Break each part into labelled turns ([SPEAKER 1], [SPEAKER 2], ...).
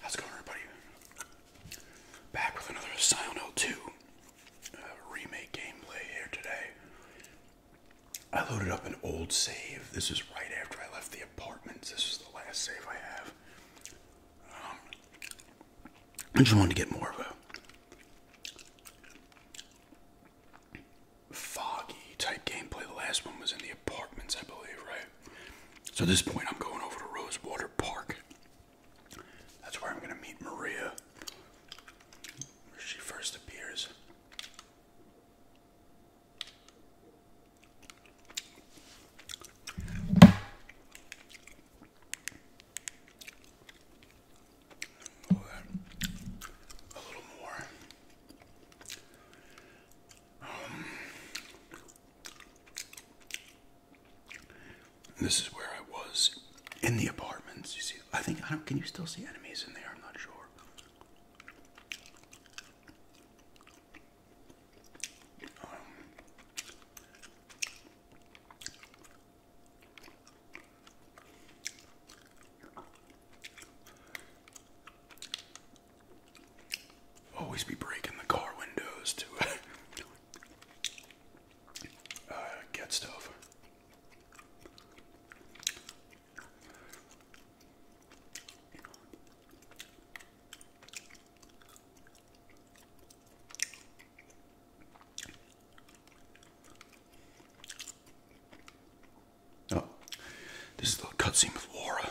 [SPEAKER 1] How's it going, everybody? Back with another Silent 2 uh, remake gameplay here today. I loaded up an old save. This is right after I left the apartments. This is the last save I have. Um, I just wanted to get more of a foggy type gameplay. The last one was in the apartments, I believe, right? So this point, I'm going over to Rosewater Park. That's where I'm going to meet Maria. Where she first appears. A little more this is where I was in the apartments. You see, I think I Can you still see enemies in there? I'm not sure. Always be breaking the car windows to uh, get stuff. Oh, this is a little cutscene with Laura.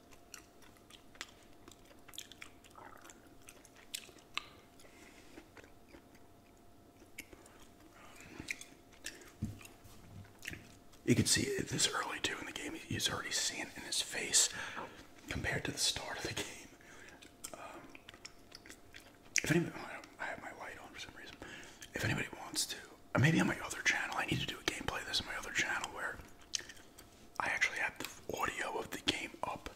[SPEAKER 1] You can see this early too in the game. He's already seen it in his face compared to the start of the game. Um, if anybody, I have my light on for some reason. If anybody wants to, uh, maybe on my other channel, I need to do a gameplay. This on my other channel where I actually have the audio of the game up.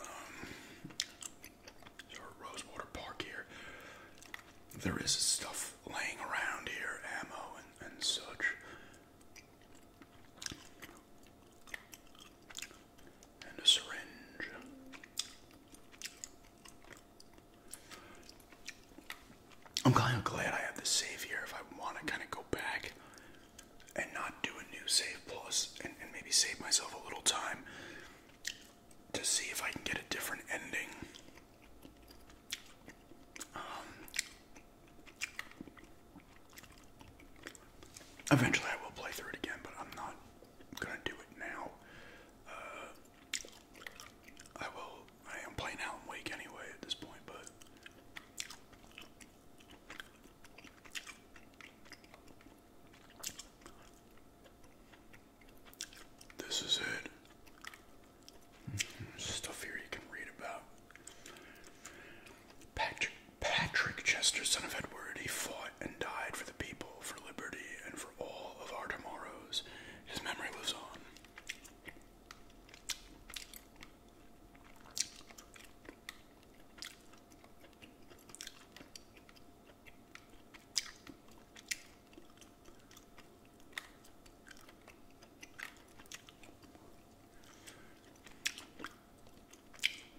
[SPEAKER 1] Um, Rosewater Park here. There is stuff laying around here, ammo and, such. And a syringe. I'm kind of glad I have the savior. here if I want to kind of go back and not do a new save plus and, maybe save myself a little time to see if I can get a different ending. Um, eventually, I will play through it again, but I'm not gonna do it now. Uh, I will. I am playing Alan Wake anyway at this point, but. This is it. stuff here you can read about. Patrick, Patrick Chester, son of Edward, he fought and died for the people, for liberty, and for all of our tomorrows. His memory lives on.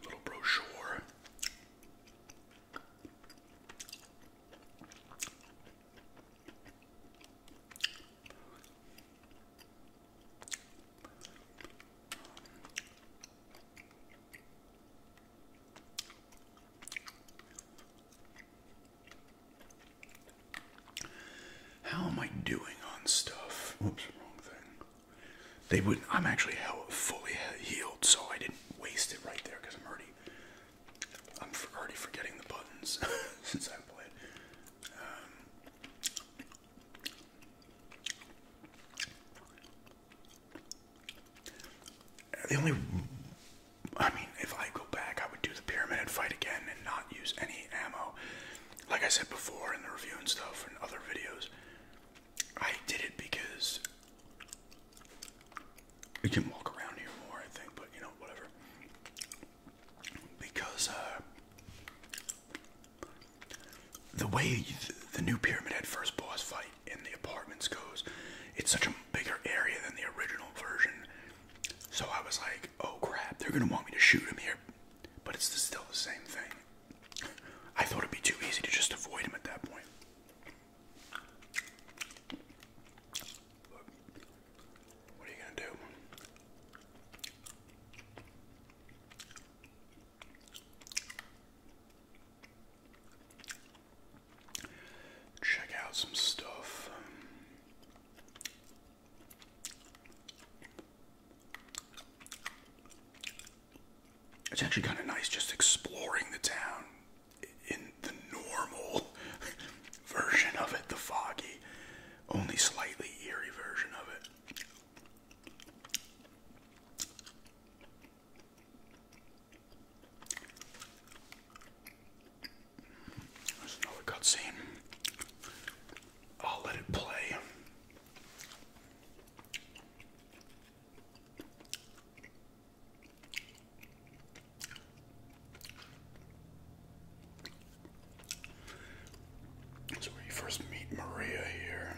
[SPEAKER 1] Little brochure. How am I doing on stuff? Oops, wrong thing. They would. I'm actually fully healed, so I didn't waste it right there because I'm already. I'm already forgetting the buttons since I played. Um, the only, I mean, if I go back, I would do the pyramid fight again and not use any ammo. Like I said before in the review and stuff and other videos, I did it because you can walk around here more, I think, but you know, whatever. Because, uh, the way the new Pyramid Head first boss fight in the apartments goes, it's such a bigger area than the original version. So I was like, oh crap, they're gonna want me to shoot him here, but it's still the same thing. I thought it'd be too easy to just avoid him at that point. What are you gonna do? Check out some stuff. It's actually kind of nice just exploring the town in the normal version of it, the foggy, only slightly eerie version of it. There's another cutscene. I'll let it play. That's where first meet Maria here.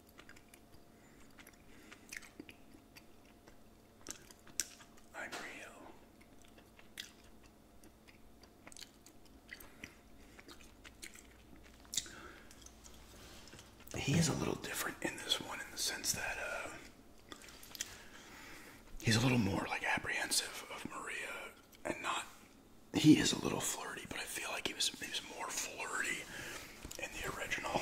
[SPEAKER 1] I'm real. He is a little different in this one in the sense that uh, he's a little more like apprehensive of Maria and not. He is a little flirty, but I feel like he was he was more flirty in the original.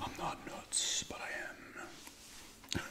[SPEAKER 1] I'm not nuts, but I am.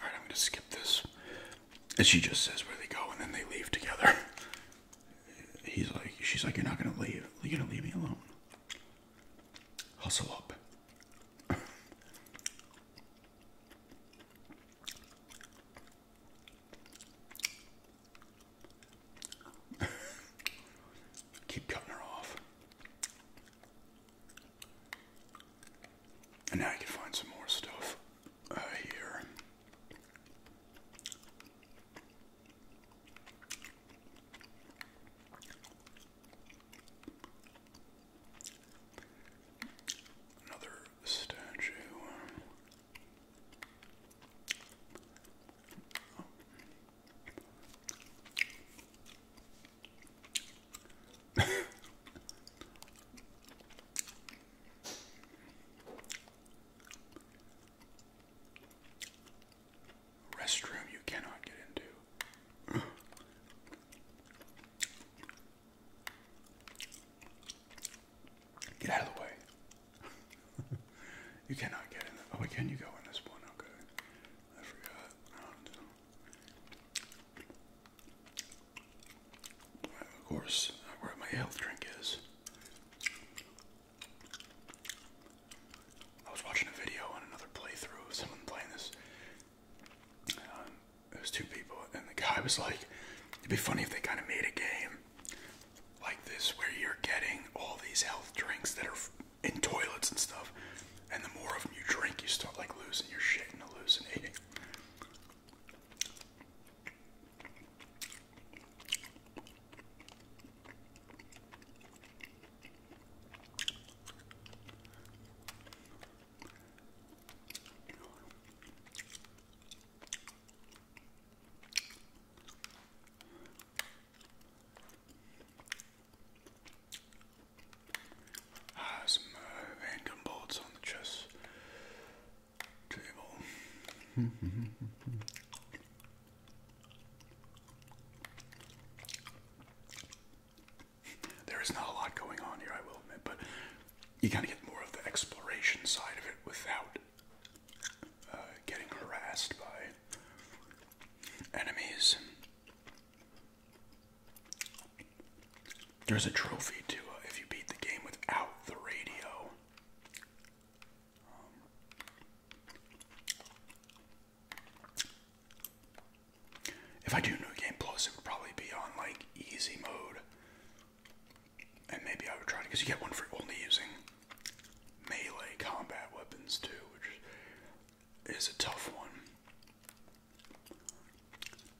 [SPEAKER 1] Alright, I'm going to skip this. And she just says where they go and then they leave together. he's like, she's like, you're not gonna leave. You're gonna leave me alone. Hustle up. Keep cutting her off. And now you can find some more stuff uh, here. Another statue. Restroom you cannot get into. Get out of the way. you cannot get in. oh, wait, can you go in this one? Okay. I forgot. of course, uh, where my health drink is. I was watching a video on another playthrough of someone playing this. Um, it was two people, and the guy was like, "It'd be funny if they kind of made a game like this where you're getting all these health drinks that are in toilets and stuff, and the more of them you drink, you start like losing your shit and hallucinating." Has some random bolts on the chest. there is not a lot going on here, I will admit, but you gotta get more of the exploration side of it without uh, getting harassed by enemies. There's a trophy too if you beat the game without the radio if I do New Game Plus, it would probably be on like easy mode. And maybe I would try to, because you get one for only using melee combat weapons too, which is a tough one.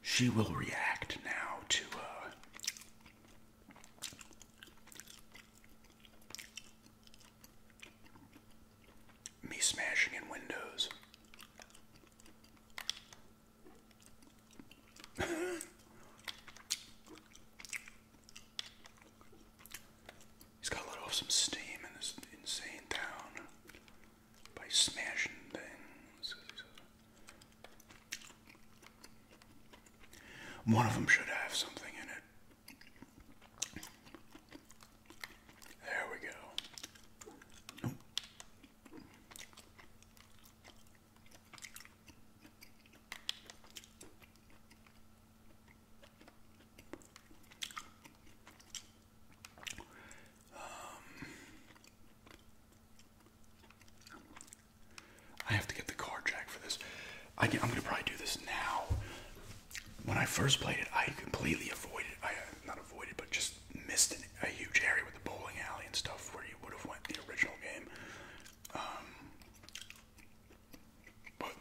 [SPEAKER 1] She will react now to uh, me smashing in windows. He's got to let off some steam in this insane town by smashing things. One of them should have something in it. There we go. I have to get the card jack for this. I am gonna probably do this now. When I first played it, I completely avoided, I not avoided, but just missed a huge area with the bowling alley and stuff where you would have went the original game. Um, but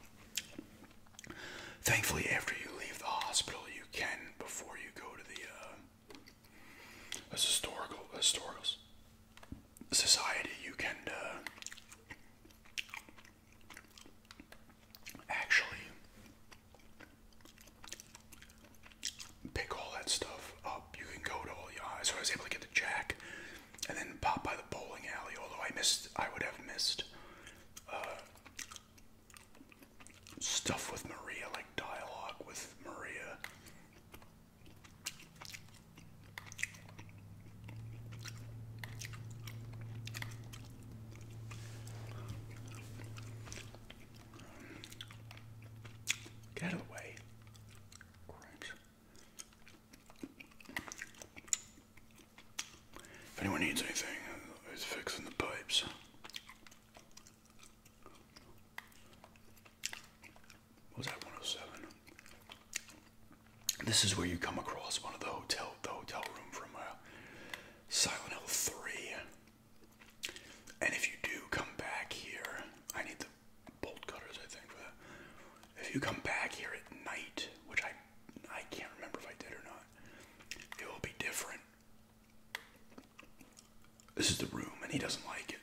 [SPEAKER 1] thankfully, after you leave the hospital, you can before you go to the uh, historical historical society, you can uh, actually pick all that stuff up. You can go to all the eyes. So I was able to get the jack and then pop by the bowling alley, although I missed, I would have missed uh, stuff with Maria, like dialogue with Maria. Get away! of If anyone needs anything, it's fixing the pipes was that 107? This is where you come across one of the hotel, the hotel room from uh, Silent Hill 3. And if you do come back here, I need the bolt cutters, I think, If you come back here at night, which I I can't remember if I did or not, it will be different. This is the room, and he doesn't like it.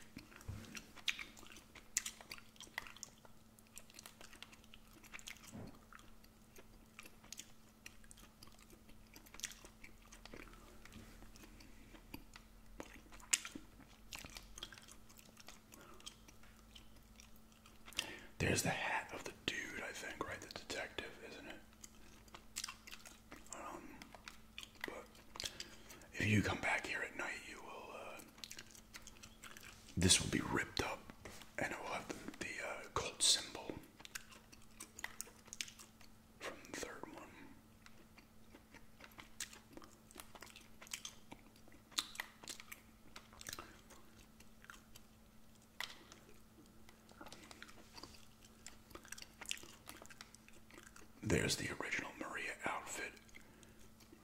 [SPEAKER 1] There's the hat of the dude, I think, right? The detective, isn't it? Um, but if you come back here at night, you will uh, this will be ripped up, and it will have the, the uh, symbol from the third one. There's the original Maria outfit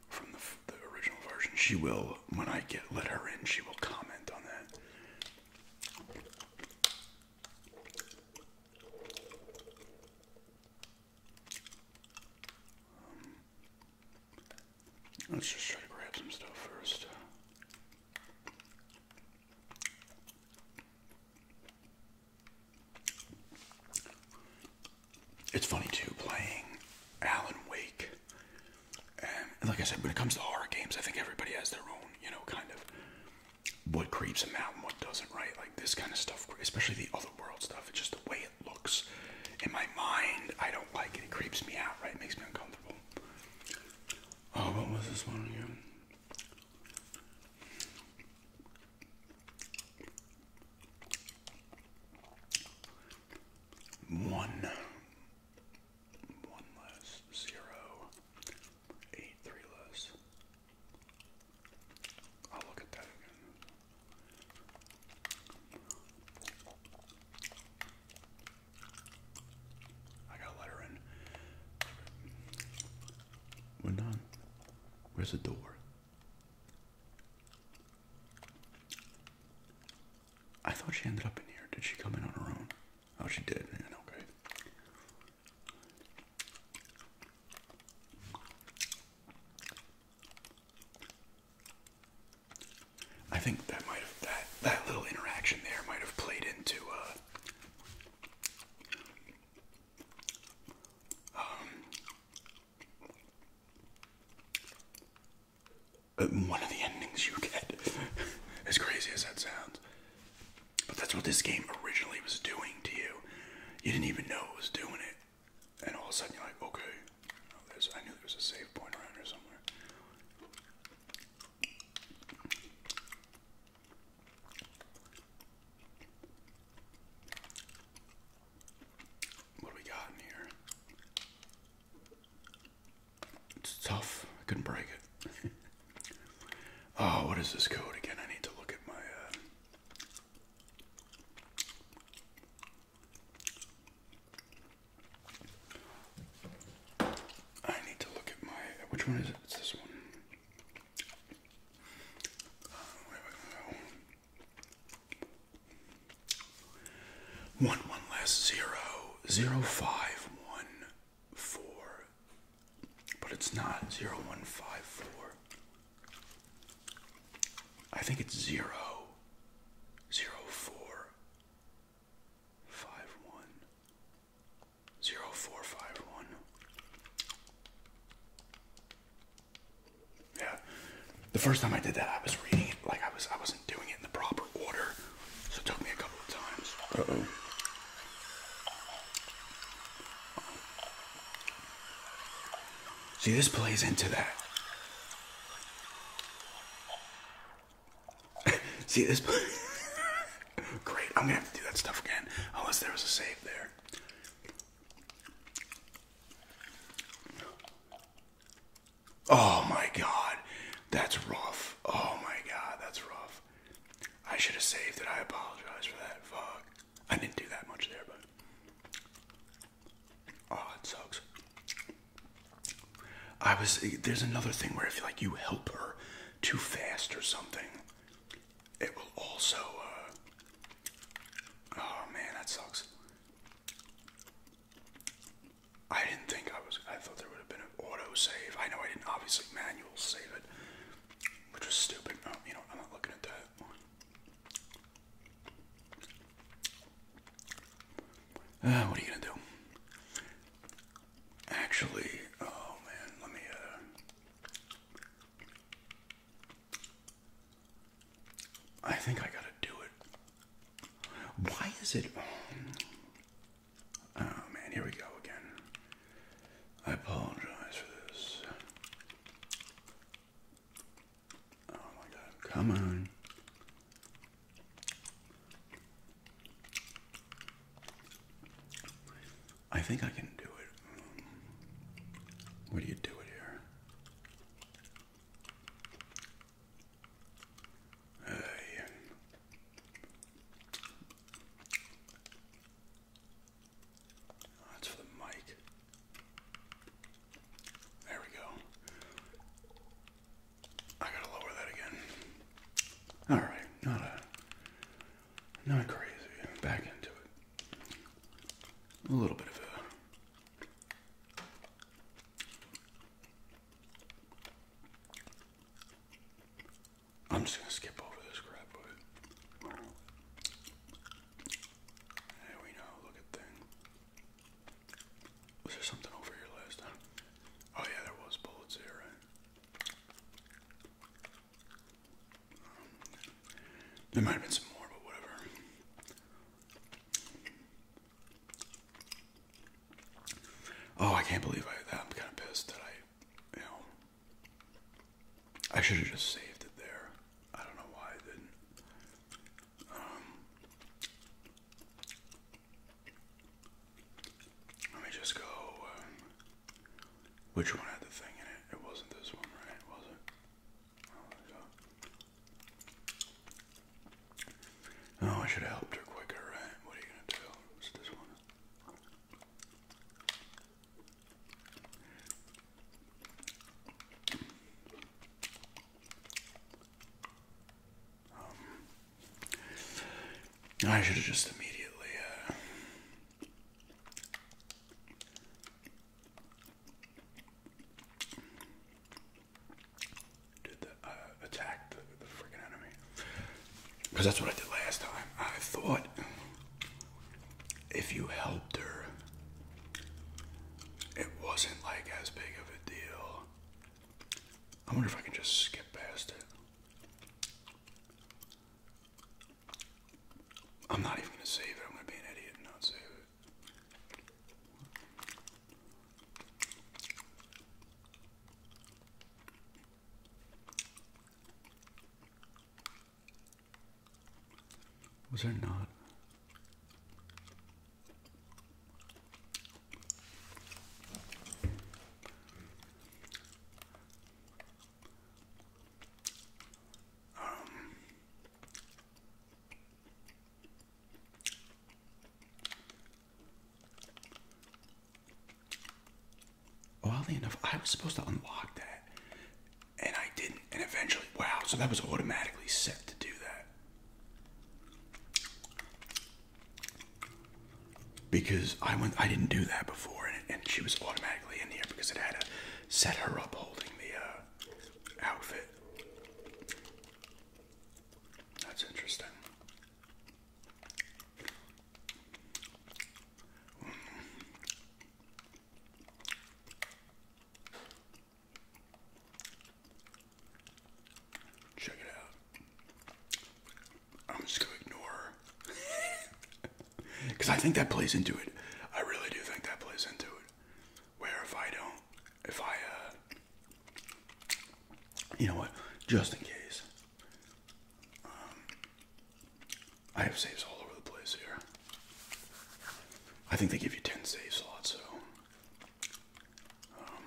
[SPEAKER 1] from the, original version. She will, when I get let her in, she will comment on that. Um, let's just try to grab some stuff first it's funny too playing Alan Wake. And, like I said, when it comes to horror games, I think everybody has their own, you know, kind of what creeps them out and what doesn't, right? Like this kind of stuff, especially the other world stuff. It's just the way it looks in my mind. I don't like it. It creeps me out, right? It makes me uncomfortable. Oh, what was this one again? One, one less, zero, eight, three less. I'll look at that again. I got a letter in. We're Where's the door? I thought she ended up in here. Did she come in on her own? Oh, she did, Okay. I think that might have that that little interaction there might have played into uh, um, one of the endings you get. as crazy as that sounds. But that's what this game originally was doing to you. You didn't even know it was doing it. And all of a sudden you're like, okay, oh, I knew there was a save point around here somewhere. What do we got in here? It's tough. I couldn't break it. oh, what is this code again? I need to look at my. Uh, I need to look at my. Which one is it? It's this one. Uh, wait, wait, one one less zero zero five one four, but it's not zero one five four. I think it's zero zero four five one zero four five one. Yeah. The first time I did that, I was reading it like I was I wasn't doing it in the proper order, so it took me a couple of times. Uh oh. See, this plays into that. See, this. Great, I'm gonna have to do that stuff again, unless there was a save there. Oh my god, that's rough. Oh my god, that's rough. I should have saved it. I apologize for that. Fuck. I didn't do that much there, but. Oh, it sucks. I was. There's another thing where if like you help her too fast or something, it will also. Uh, oh man, that sucks. I didn't think I was. I thought there would have been an auto save. I know I didn't obviously manual save it, which was stupid. Oh, you know, I'm not looking at that. Uh, what are you gonna do? Actually, oh man, let me. Uh, I think I gotta do it. Why is it? Oh man, here we go again. I apologize for this. Oh my god, come on. I think I can do it. What do you do here? Hey. that's for the mic. There we go. I gotta lower that again. All right, not a, not crazy. Back into it. A little bit of I'm just gonna skip over this crap, but there we know. Look at thing. Was there something over here last time? Oh yeah, there was bullets here, right? Um, there might have been some more, but whatever. Oh, I can't believe I that. I'm kind of pissed that I, you know, I should have just saved it there. I don't know why I didn't. Um, let me just go. Um, which one had the thing in it? It wasn't this one, right? Was it? Oh, I should have helped her quicker, What are you going to do? It's this one. Um, I should have just immediately. Uh, did the, uh, attack the freaking enemy. Because that's what I did last time. I thought if you helped her, it wasn't like as big of a deal. I wonder if I can just skip past it. I'm not even gonna save it. I'm gonna be an idiot and not save it. Was there not? Um, Oddly enough, I was supposed to unlock that, and I didn't. And eventually, wow! So that was automatically set to do that because I went. I didn't do that before, and, she was automatically in here because it had a set her up holding the uh, outfit. That's interesting. Check it out. I'm just gonna ignore her. Because I think that plays into it. I really do think that plays into it. Where if I don't if I, uh, you know what, just in case, um, I have saves all over the place here. I think they give you 10 save slots, so. Um,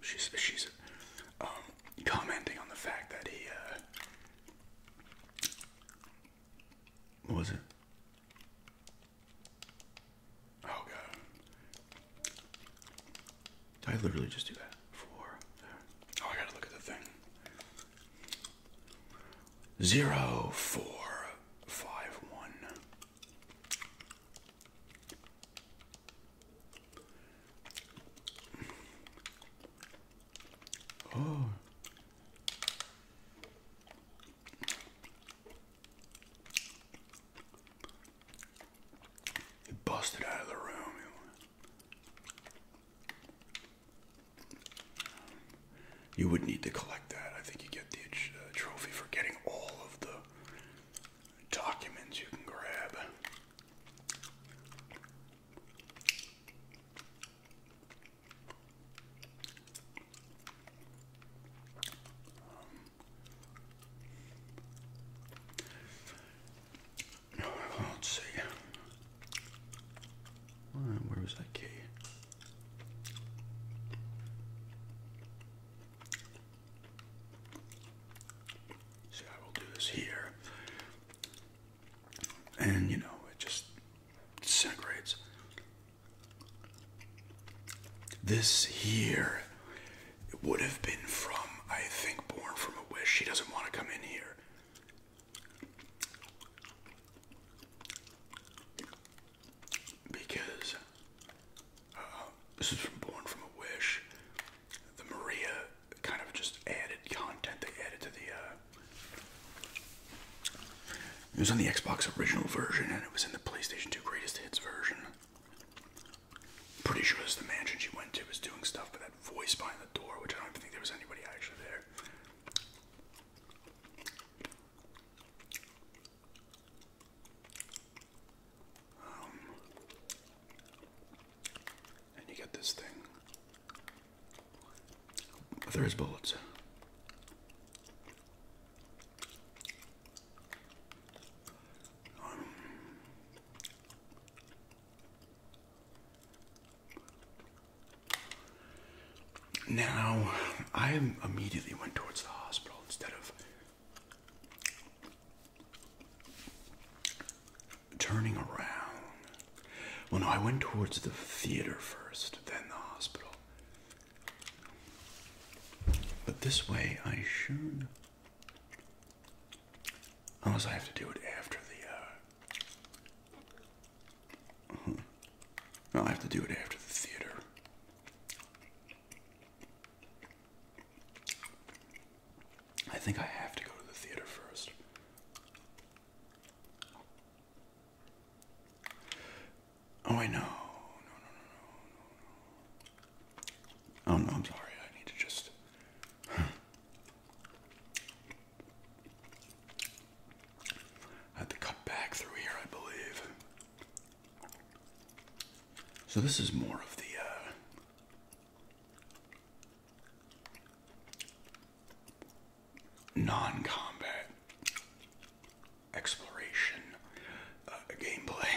[SPEAKER 1] she's she's um, commenting on the fact that he uh, what was it? Oh god. Did I literally just do that for Oh I gotta look at the thing. Zero four five one Oh. It busted out of the room. You would need to collect that. I think you get the uh, trophy for getting all of the documents you can grab. I won't see. Where was that key? So I will do this here. And you know, it just disintegrates. This here would have been from, I think, Born from a Wish. She doesn't want to come in here. Because uh, this is from Born from a Wish the Maria kind of just added content they added to the. Uh, it was on the Xbox original version, and it was in the PlayStation 2 Greatest Hits version. Pretty sure this the mansion she went to was doing stuff, but that voice behind the door, which I don't think there was anybody actually there. Um, and you get this thing. But there is bullets. Um, now, I immediately went towards the hospital instead of turning around. Well, no, I went towards the theater first, then the hospital. But this way, I should. Unless I have to do it after the. No, uh, I have to do it after the theater. I think I have to go to the theater first. Oh, I know. Oh, no, I'm sorry. I need to just. I had to cut back through here, I believe. So this is more of the uh, non combat exploration uh, gameplay.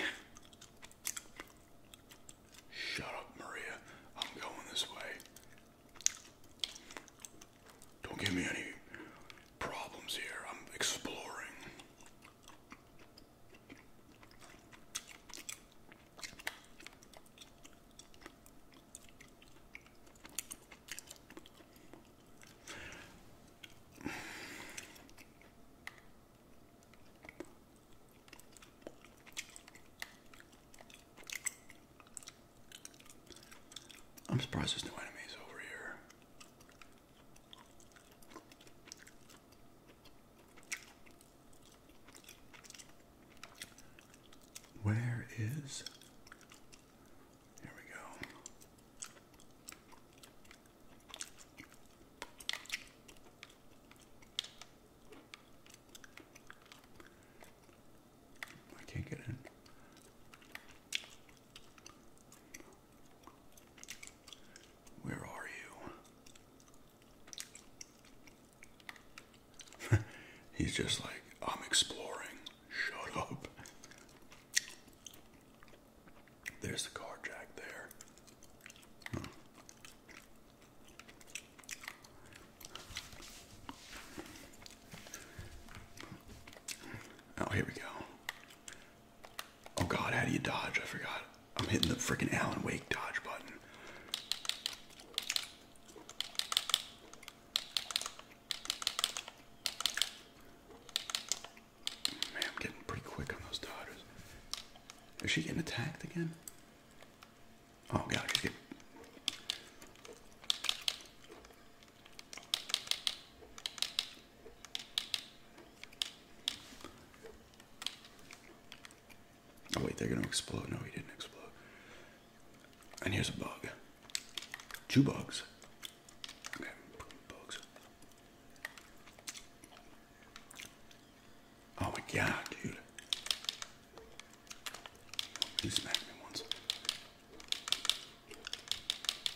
[SPEAKER 1] Shut up, Maria. I'm going this way. Don't give me any problems here. I'm exploring. I'm surprised there's no enemies over here. Where is. Here we go. I can't get in. Where are you? He's just like, I'm exploring. Shut up. There's the car jack there. Oh, here we go. Oh, God, how do you dodge? I forgot. I'm hitting the freaking Alan Wake dodge button. Man, I'm getting pretty quick on those dodgers. Is she getting attacked again? Oh god, Oh wait, they're gonna explode. No, he didn't explode. And here's a bug. Two bugs. Okay, bugs. Oh my god, dude. He smacked me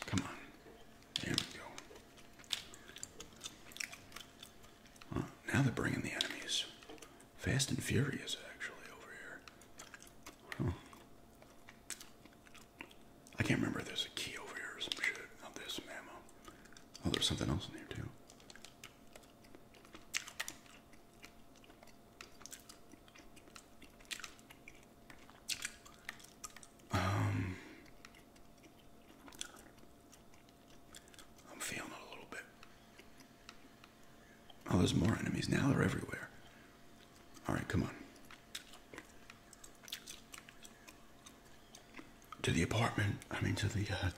[SPEAKER 1] Come on. There we go. now they're bringing the enemies. Fast and Furious, actually, over here. I can't remember there's a key over here or some shit. Not this Oh, there's something else in here, too. Um, I'm feeling it a little bit. Oh, there's more enemies now. They're everywhere. All right, come on. To the apartment. I mean, to the. Uh,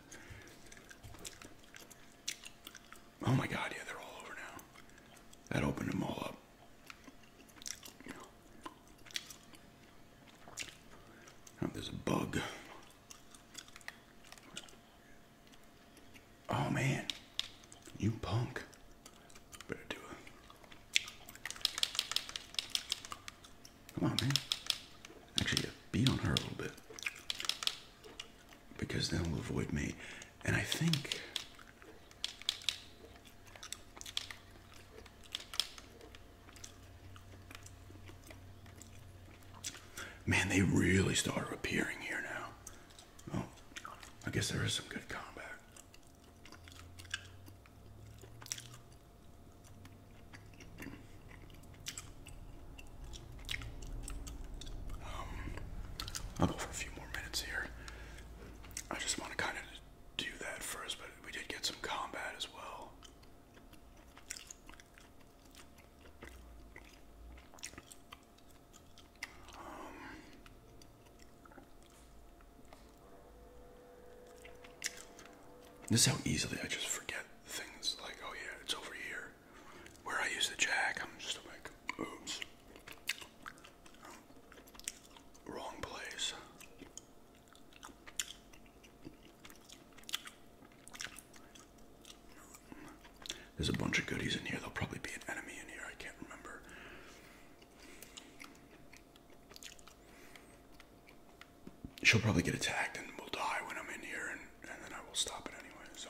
[SPEAKER 1] oh my God! Yeah, they're all over now. That opened them all up. Oh, there's a bug. Oh man, you punk. Better do it. Come on, man. Actually, beat on her a little bit. Because then will avoid me. And I think. Man, they really started appearing here now. Oh, I guess there is some good combat. Um, I'll go for a few more minutes here. I just want to kind of do that first, but we did get some combat as well this is how easily I just forget things like, oh yeah, it's over here. Where I use the jack, I'm just like, oops. Wrong place. There's a bunch of goodies in here. There'll probably be an enemy in here. I can't remember. She'll probably get attacked and will die when I'm in here, and, then I will stop it anyway. So,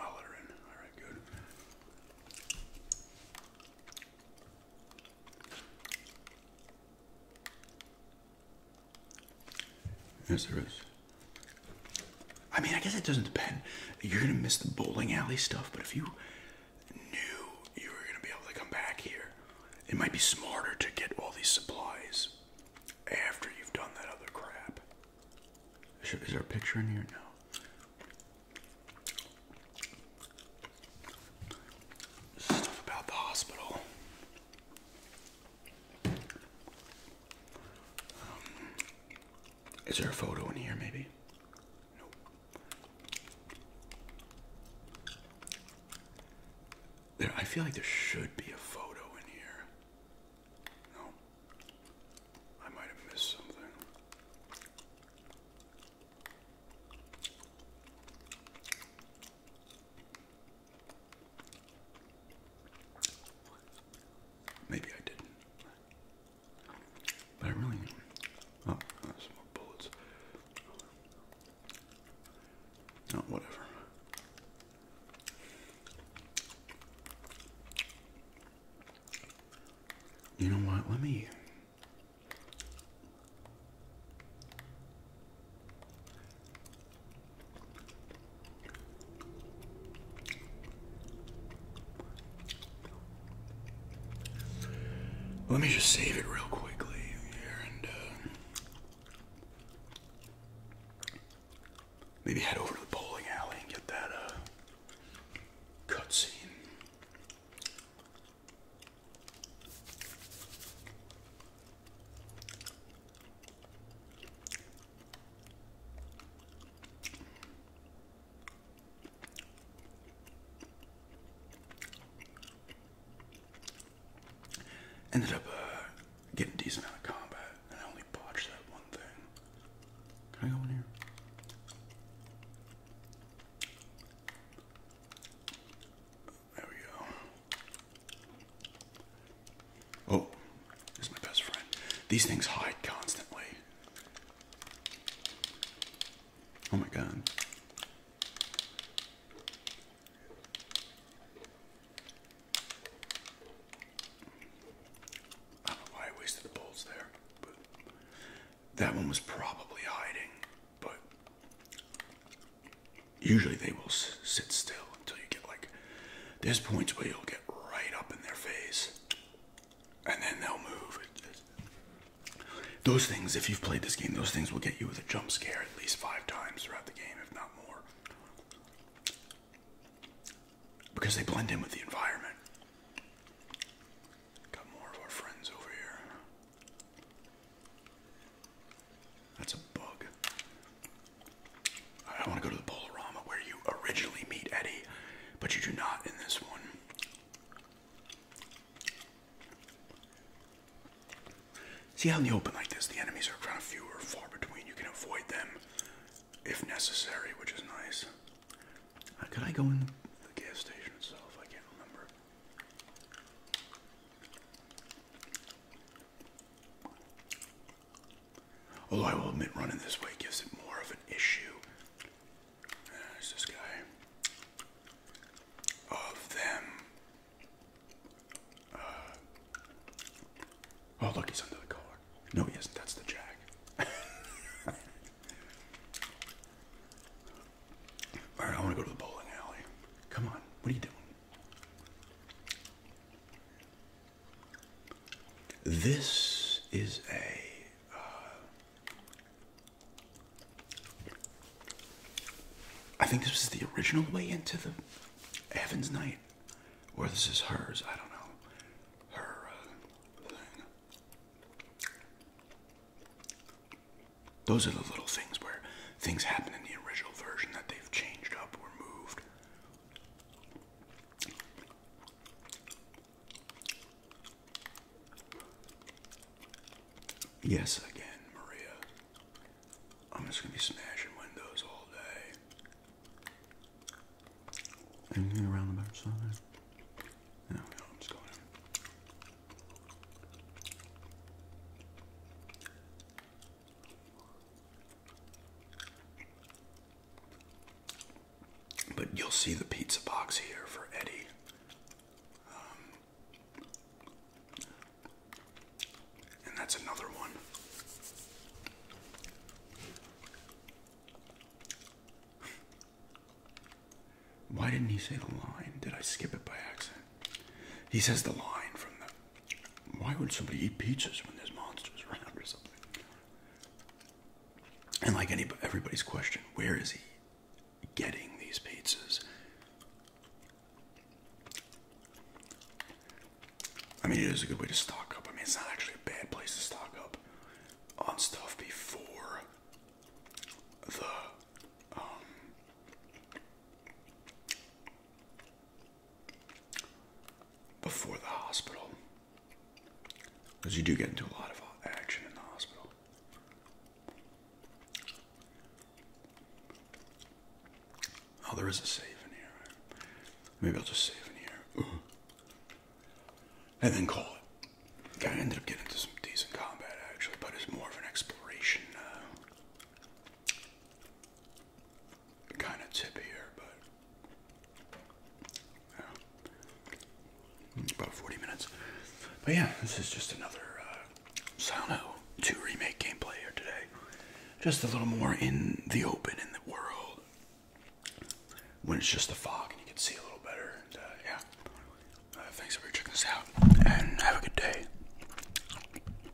[SPEAKER 1] I'll let her in. All right, good. Yes, there is. I mean, I guess it doesn't depend. You're gonna miss the bowling alley stuff, but if you knew you were gonna be able to come back here, it might be smarter to get all these supplies after you've done that other crap. Is there a picture in here? No. Stuff about the hospital. Um, is there a photo in here, maybe? There, I feel like there should be a photo in here. No. I might have missed something. Maybe I did But I really. Oh, more bullets. Oh, whatever. You know what? Let me. Let me just save it real quickly here and uh, maybe head over to the bowling alley and get that uh, cutscene. Ended up uh, getting decent amount of combat, I only botched that one thing. Can I go in here? There we go. Oh, this is my best friend. These things hide constantly. Oh my god. I don't know why I wasted the bolts there, but that one was probably hiding, but Usually they will sit still until you get like, there's points where you'll get right up in their face and then they'll move. Those things, if you've played this game, those things will get you with a jump scare at least five times throughout the game, if not more. Because they blend in with the environment. Got more of our friends over here. That's a bug. I want to go to the Polarama where you originally meet Eddie, but you do not in this one. See how in the open like this, the enemies are kind of few far between. You can avoid them if necessary, which is nice. Uh, could I go in the gas station itself? I can't remember. Although I will admit, running this way gives it more of an issue. Uh, There's this guy. Of them. Uh, oh, look, he's under the car. No, he isn't. That's the jack. Alright, I want to go to the bowling alley. Come on, what are you doing? This is a. Uh, I think this was the original way into the Heaven's Night, or this is hers. I don't know her uh, Those are the little things where things happen in the original version that they've changed up or moved. Yes, again, Maria. I'm just gonna be smashing windows all day. Anything around the back side? No, no, I'm just going. In. But you'll see the pizza box here for Eddie. Um, and that's another one. Why didn't he say the line? Did I skip it by accident? He says the line from the why would somebody eat pizzas when there's monsters around or something? And like anybody, everybody's question, where is he getting these pizzas? I mean, it is a good way to stock up. I mean, it's not actually a bad place to stock up on stuff before the um, before the hospital. Because you do get into a lot of action in the hospital. Oh, there is a save in here. Maybe I'll just save in here. And then call it. Guy ended up getting into some decent combat actually, but it's more of an exploration. Uh, kind of tippier, but yeah, about 40 minutes. But yeah, this is just another uh, Silent remake gameplay here today. Just a little more in the open, in the world, when it's just the fog and you can see a little better. And, uh, yeah, uh, thanks for checking this out, and have a good day.